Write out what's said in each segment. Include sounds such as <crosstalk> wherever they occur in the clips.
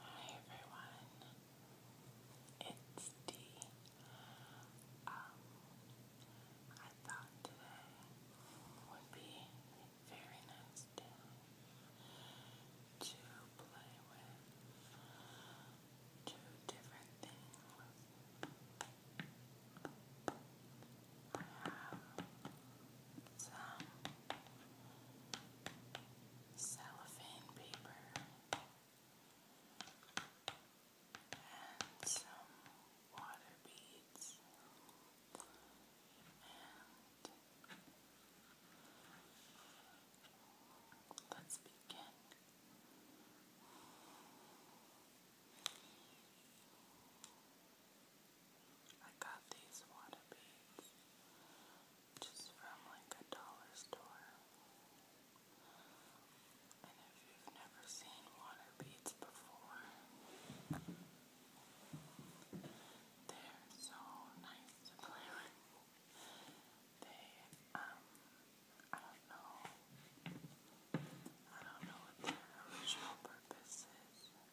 Hi everyone, it's Dee. Um, thought today would be a very nice day to play with two different things. I have some cellophane paper and some water beads let's begin. I got these water beads just from like a dollar store. And if you've never seen water beads before, they're so nice to play with. They, um, I don't know. I don't know what their original purpose is.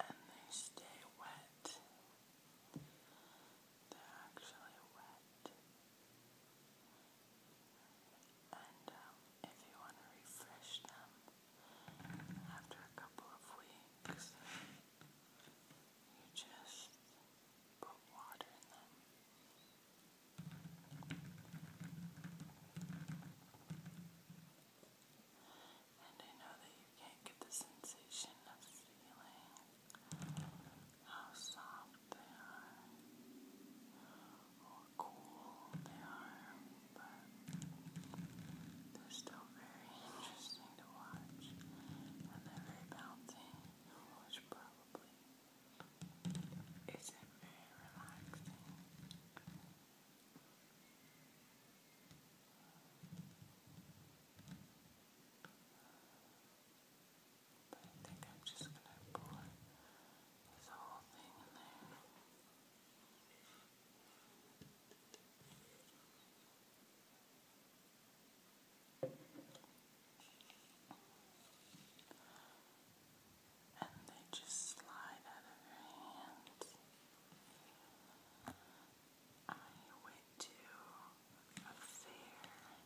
and they stay wet. They're actually wet. And um, if you want to refresh them after a couple of weeks, you just put water in them. And I know that you can't get the sensation of feeling how soft they are or cool they are, but they're still very interesting to watch and they're very bouncing, which probably isn't very relaxing. But I think I'm just going to pour this whole thing in there. And they just slide out of your hands. I went to a fair and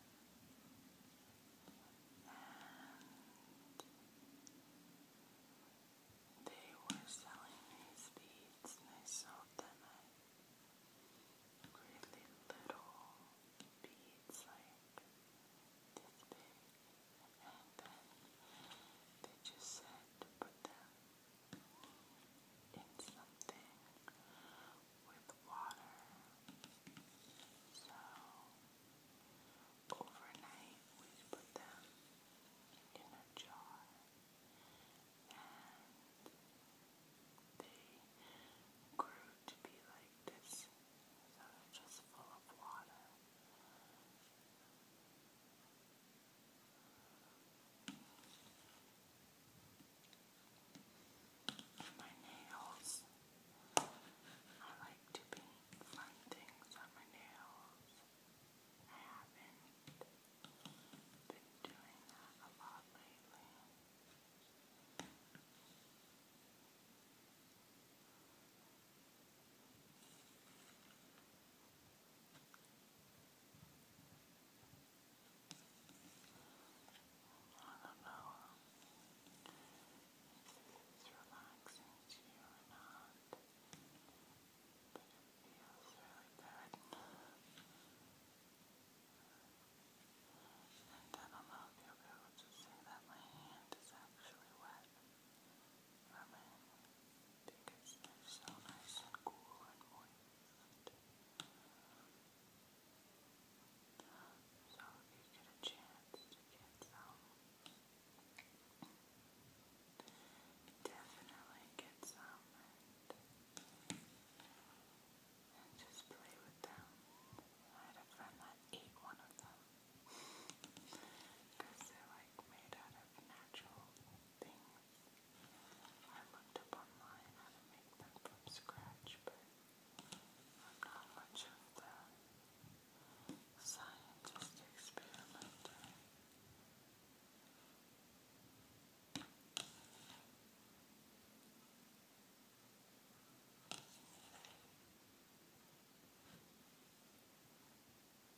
they were selling these beads and they sold them really little beads like this big and then they just said to put them it's something with water. So overnight we put them in a jar and they grew to be like this. So just full of water. My nails. I like to paint fun things on my nails. I haven't been doing that a lot lately. I don't know if it's relaxing to you or not, but it feels really good. And I don't know if you'll able to see that my hand is actually wet ramen because they so nice and cool and moist. So if you get a chance to get some, definitely get some and just play with them. I had a friend that ate one of them because they're like made out of natural things. I looked up online how to make them from scratch, but I'm not much of the scientist experimenter.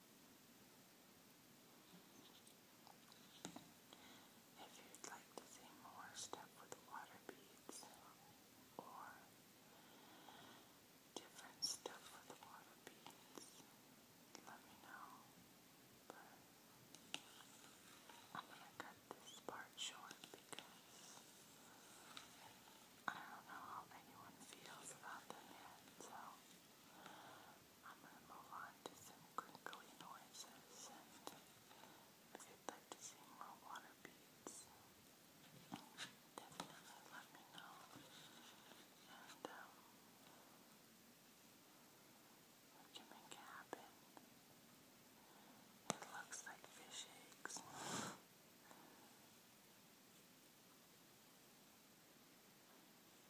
If you'd like to see more stuff with water beads or different stuff with water beads, let me know. But I'm gonna cut this part short because I don't know how anyone feels about them yet, so I'm going to move on to some crinkly noises and if you'd like to see more water beads, definitely let me know. And um, we can It looks like fish eggs.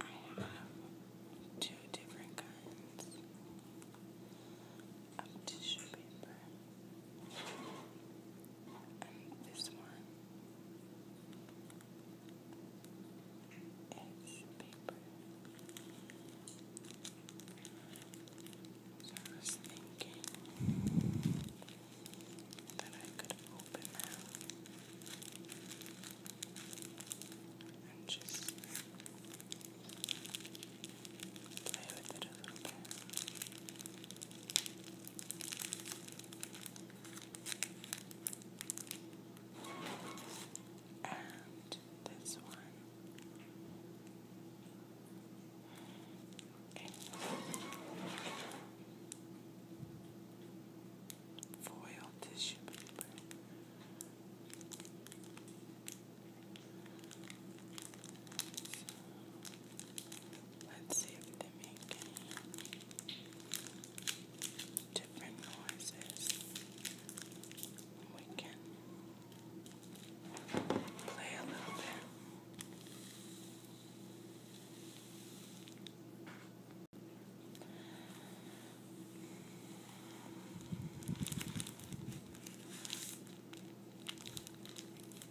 I have two different kinds of tissue paper. And this one is paper. So I was thinking that I could open them and just play with it a little bit. And this one. Foil tissue paper. Let's see if they make any different noises. We can play a little bit. Okay.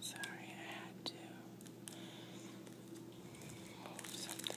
Sorry, I had to something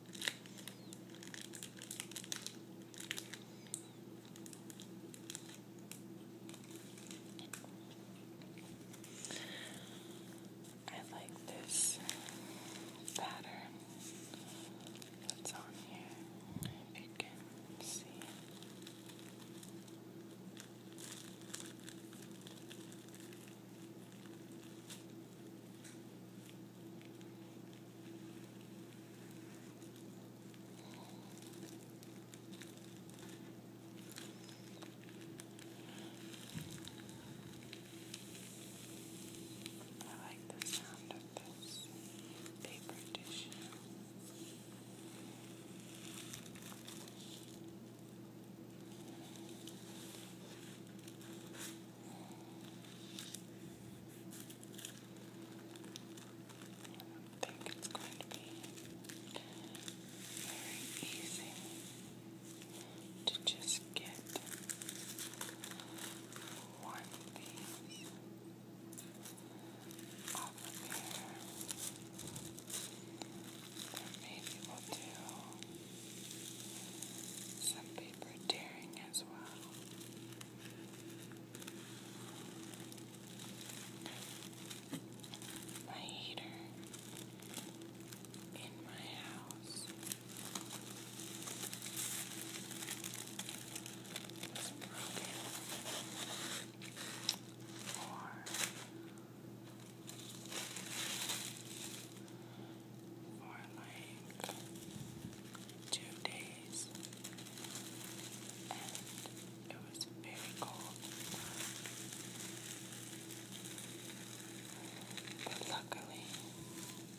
I like this pattern that's on here, you can see. I like the sound of this paper tissue. It's I think it's going to be very easy to just get one piece off of here. Or maybe do some paper tearing as well my heater in my house is broken or for like two days, and it was very cold. But luckily,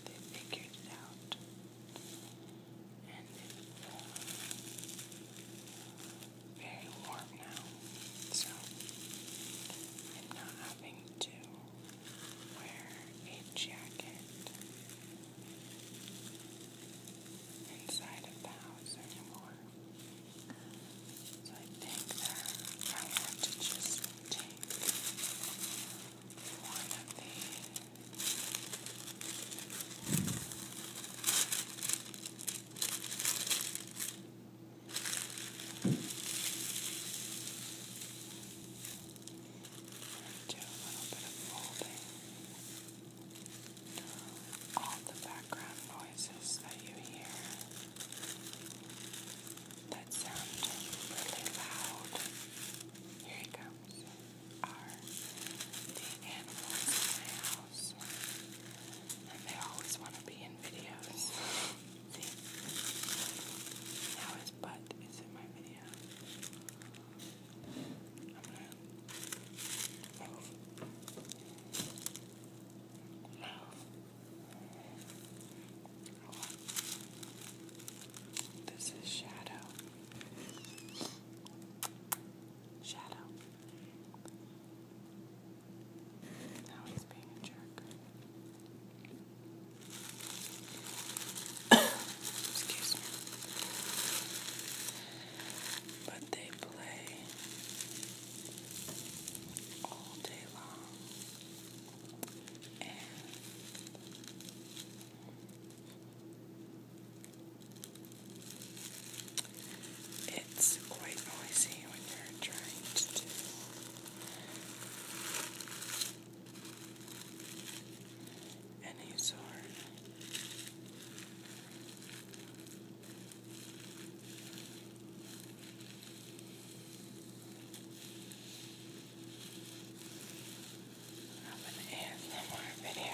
they figured it out, and it's uh, very warm now, so I'm not having to wear a jacket inside of the house anymore. So I think that I have to just take one of the and do a little bit of folding. All the background noises that you hear that sound really loud. Here he comes. Are the animals in my house, and they always want to be in videos. <laughs> See his butt is in my video. This is shadow. Shadow. Now he's being a jerk. Excuse me. But they play all day long. And it's quite noisy when you're trying to do any sort. Of an ASMR video.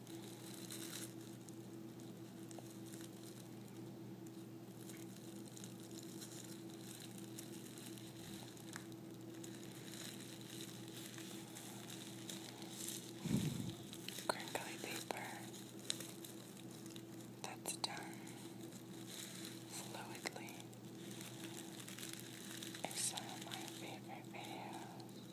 Crinkly paper. That's done fluidly. It's one of my favorite videos.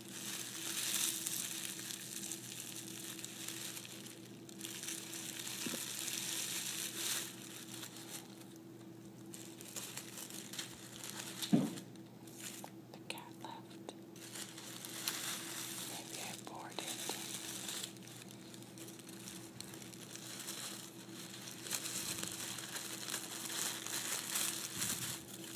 The cat left. Maybe I bored it.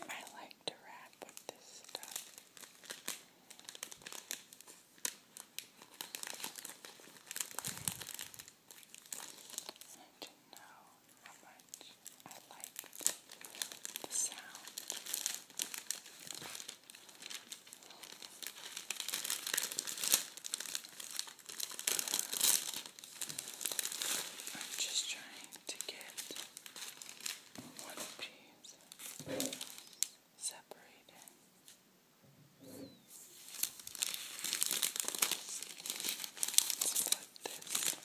I like to wrap this stuff. And know how much I liked the sound. I'm just trying to get one piece separated. let this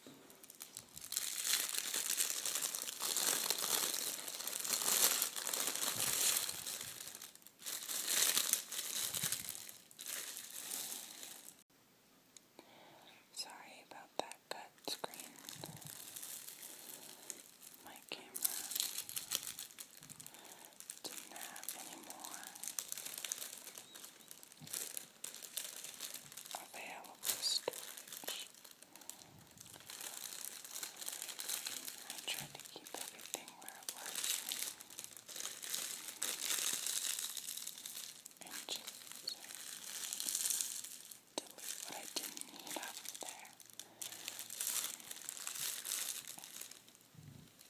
Sorry about that cut screen. My camera didn't have any more available storage. I tried to keep everything where it was and just delete what I didn't need out of there.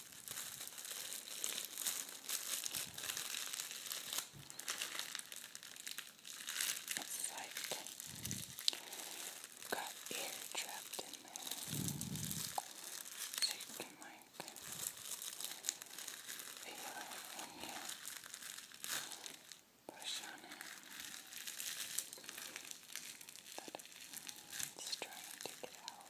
It's like got air trapped in there. So you can like feel it when you push on it. But it's trying to get out.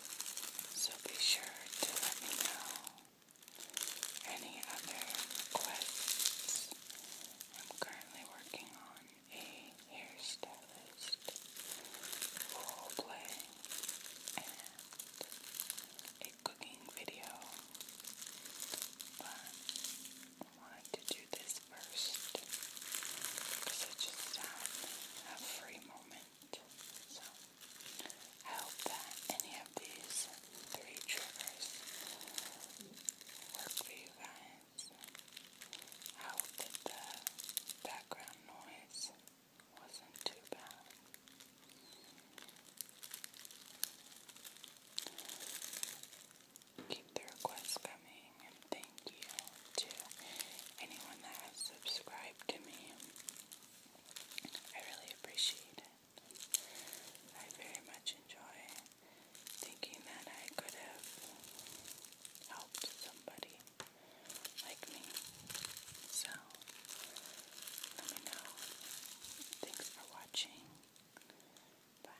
So be sure to let me know any other requests. I'm currently working on a hairstylist roleplay and a cooking video. But wanted to do this first because I just um, have free moments. So I hope that any of these three triggers work for you guys. I hope that the background noise wasn't too bad. Keep the requests coming and thank you to anyone that has subscribed to me. I really appreciate it. I very much enjoy thinking that I could have helped somebody like me. So, let me know. Thanks for watching. Bye.